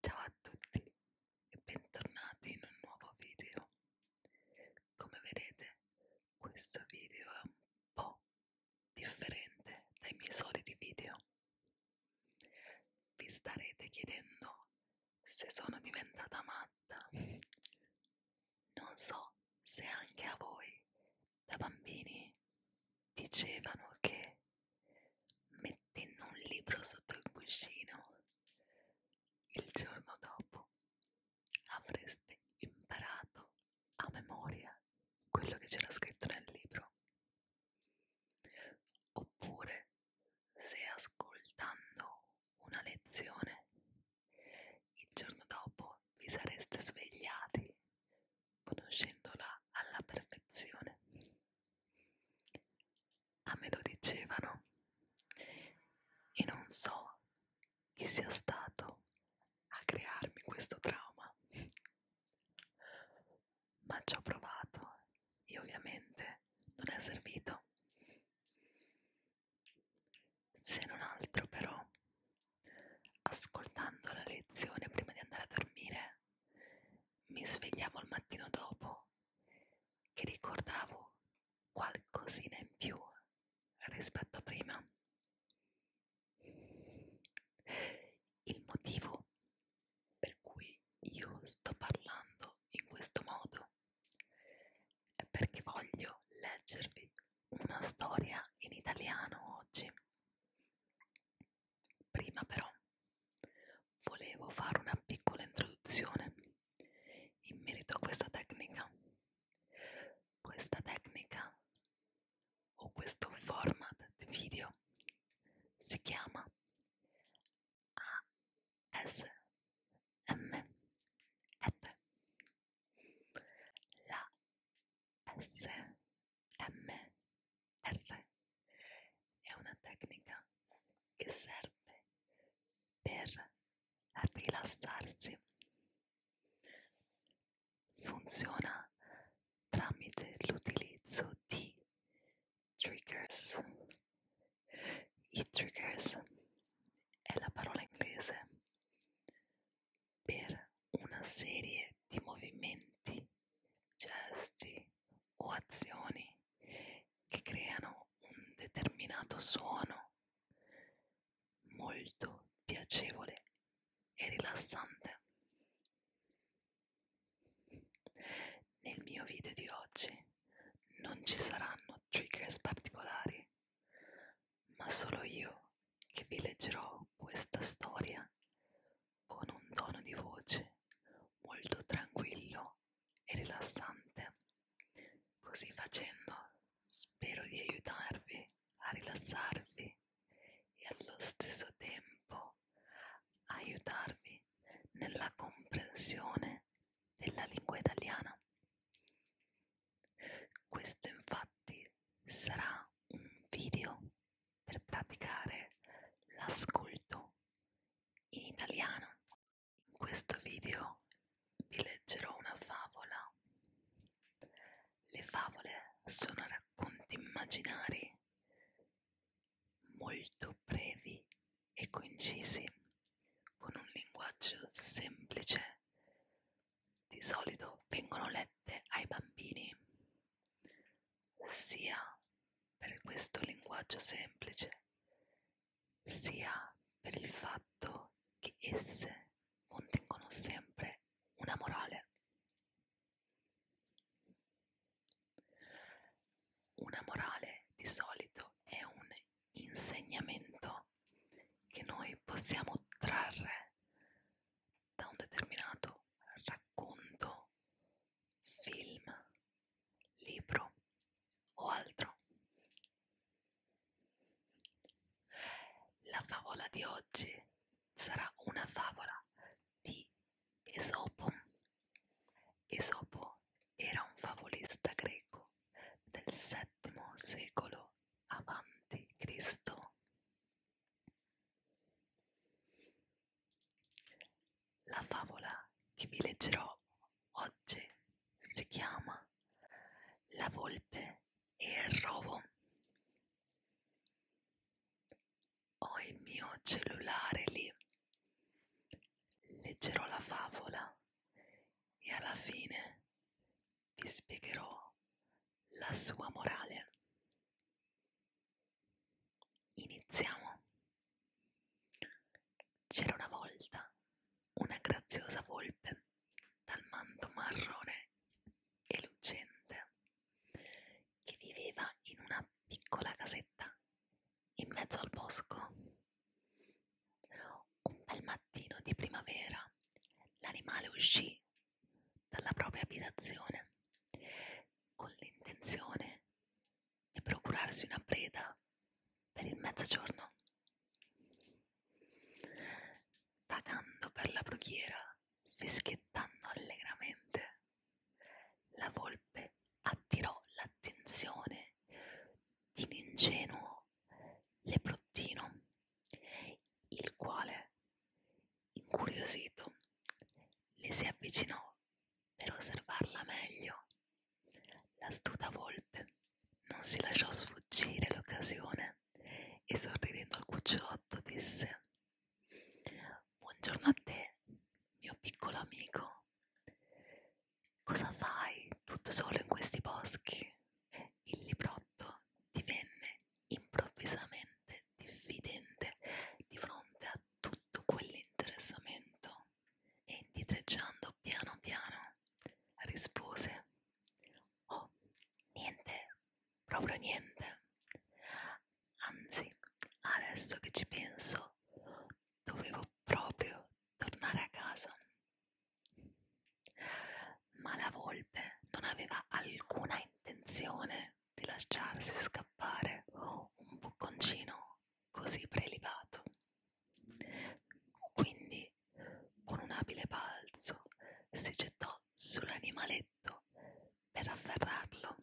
Ciao a tutti e bentornati in un nuovo video. Come vedete questo video è un po' differente dai miei soliti video. Vi starete chiedendo se sono diventata matta. Non so se anche a voi da bambini dicevano che mettendo un libro sotto il cuscino il giorno dopo avreste imparato a memoria quello che c'era scritto nel libro oppure se ascoltando una lezione il giorno dopo vi sareste svegliati conoscendola alla perfezione a me lo dicevano e non so chi sia stato a crearmi questo trauma, ma ci ho provato e ovviamente non è servito. Se non altro però, ascoltando la lezione prima di andare a dormire, mi svegliavo il mattino dopo che ricordavo qualcosina in più rispetto a prima. Il motivo per cui io sto parlando in questo modo è perché voglio leggervi una storia in italiano oggi Prima però volevo fare una piccola introduzione in merito a questa tecnica. Questa tecnica o questo format di video si chiama ASMR. La S MR è una tecnica che serve per rilassarsi. Funziona tramite l'utilizzo di triggers. I triggers è la parola inglese per una serie di movimenti, gesti o azioni che creano un determinato suono molto piacevole e rilassante. Nel mio video di oggi non ci saranno triggers particolari, ma solo io che vi leggerò questa storia con un tono di voce molto tranquillo e rilassante. Così facendo spero di aiutarvi a rilassarvi e allo stesso tempo aiutarvi nella comprensione della lingua italiana. Questo infatti sarà un video per praticare l'ascolto in italiano. In questo video vi leggerò una favola. Le favole sono racconti immaginari molto brevi e concisi con un linguaggio semplice di solito vengono lette ai bambini, sia per questo linguaggio semplice, sia per il fatto che esse contengono sempre una morale. Una morale di solito è un insegnamento che noi possiamo trarre da un determinato racconto, film, libro o altro. La favola di oggi sarà una favola di Esopo. Esopo era un favolista greco del VII secolo avanti Cristo. La favola che vi leggerò oggi si chiama La volpe e il rovo. Ho il mio cellulare lì. Leggerò la favola e alla fine vi spiegherò la sua morale. Iniziamo. C'era una volta una graziosa volpe dal manto marrone e lucente che viveva in una piccola casetta in mezzo al bosco un bel mattino di primavera l'animale uscì dalla propria abitazione con l'intenzione di procurarsi una preda per il mezzogiorno. Vagando per la brughiera, fischiettando allegramente, la volpe attirò l'attenzione di un ingenuo Leprottino, il quale, incuriosito, le si avvicinò per osservarla meglio. L'astuta volpe non si lasciò sfuggire l'occasione e sorridendo al cucciolotto disse Buongiorno a te, mio piccolo amico. Cosa fai tutto solo in questi boschi? Il librotto divenne improvvisamente diffidente di fronte a tutto quell'interessamento e indietreggiando piano piano rispose Oh, niente, proprio niente. Anzi, adesso che ci penso, dovevo proprio tornare a casa. Ma la volpe non aveva alcuna intenzione di lasciarsi scappare un bocconcino così prelibato. Quindi, con un abile balzo, si gettò sull'animaletto per afferrarlo.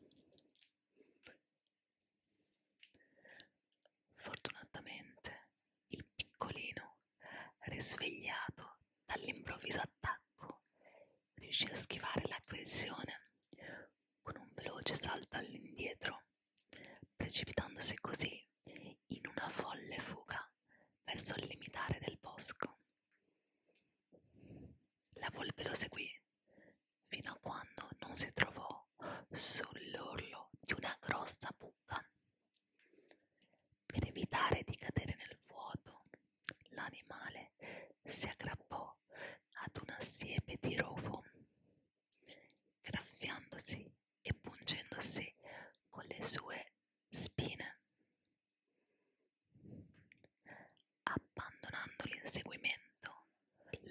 Fortunatamente il piccolino, risvegliato dall'improvviso attacco, riuscì a schivare l'aggressione con un veloce salto all'indietro, precipitandosi così in una folle fuga verso il limitare del bosco. La volpe lo seguì fino a quando non si trovò appoggiò sull'orlo di una grossa buca. Per evitare di cadere nel vuoto, l'animale si aggrappò ad una siepe di rovo, graffiandosi e pungendosi con le sue spine. Abbandonando l'inseguimento,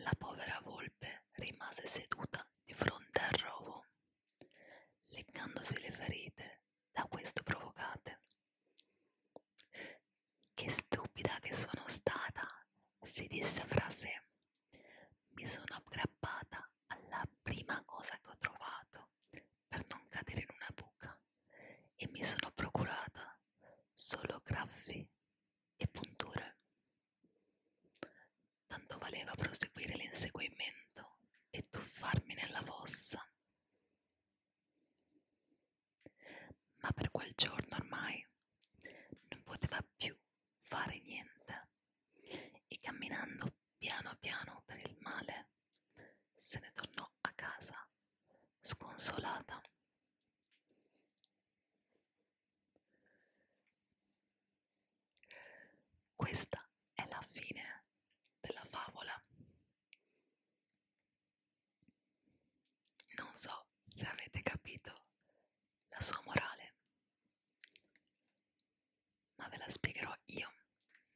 la povera volpe rimase seduta di fronte al rovo, leccandosi le ferite da questo provocate. Che stupida che sono stata, si disse fra sé. Mi sono aggrappata alla prima cosa che ho trovato per non cadere in una buca e mi sono procurata solo graffi e punture. Tanto valeva proseguire l'inseguimento e tuffarmi nella fossa. Ma per quel giorno ormai non poteva più fare niente e camminando piano piano per il male se ne tornò a casa sconsolata. Questa è la fine della favola. Non so se avete capito la sua morale, ma ve la spiegherò io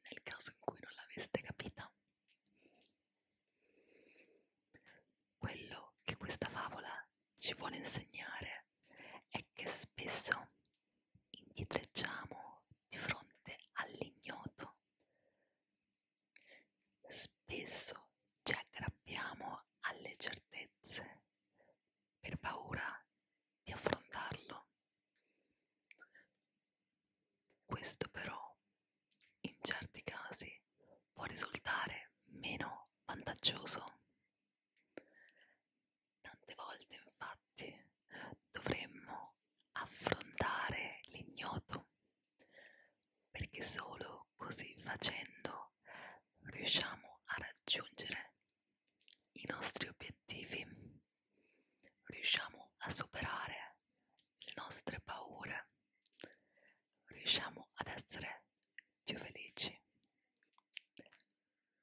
nel caso in cui non l'aveste capita. Quello che questa favola ci vuole insegnare è che spesso indietreggiamo di fronte all'ignoto, spesso ci aggrappiamo alle certezze per paura di affrontarlo. Questo però in certi casi può risultare meno vantaggioso. Tante volte infatti dovremmo affrontare l'ignoto perché solo così facendo riusciamo a raggiungere i nostri obiettivi, riusciamo a superare le nostre paure, riusciamo ad essere più felici.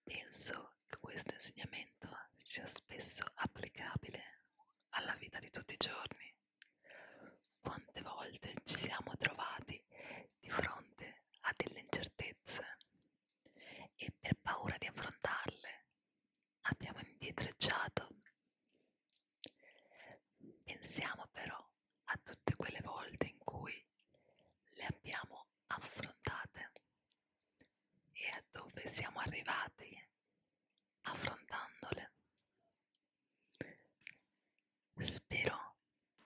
Penso che questo insegnamento sia spesso applicabile alla vita di tutti i giorni. Quante volte ci siamo trovati di fronte a delle incertezze e per paura di affrontarle abbiamo indietreggiato Pensiamo però a tutte quelle volte in cui le abbiamo affrontate e a dove siamo arrivati affrontandole. Spero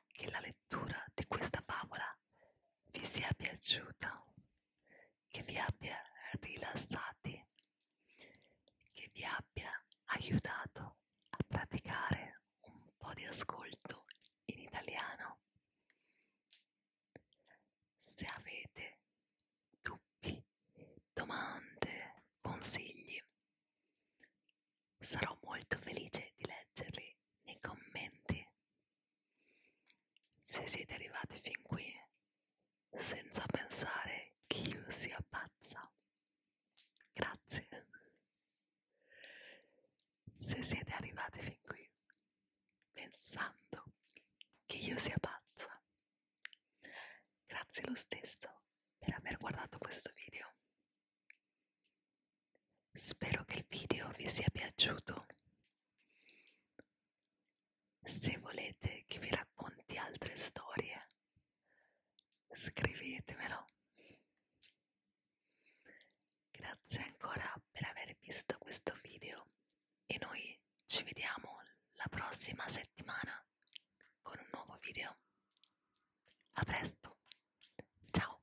che la lettura di questa favola vi sia piaciuta, che vi abbia rilassati che vi abbia aiutato a praticare un po' di ascolto in italiano. Se avete dubbi, domande, consigli, sarò molto felice di leggerli nei commenti. Se siete arrivati fin qui, senza pensare che io sia pazza. Grazie. Se siete arrivati fin qui pensando che io sia pazza, grazie lo stesso per aver guardato questo video. Spero che il video vi sia piaciuto. Se volete che vi racconti altre storie, scrivetemelo. Grazie ancora per aver visto questo video e noi ci vediamo la prossima settimana con un nuovo video. A presto, ciao!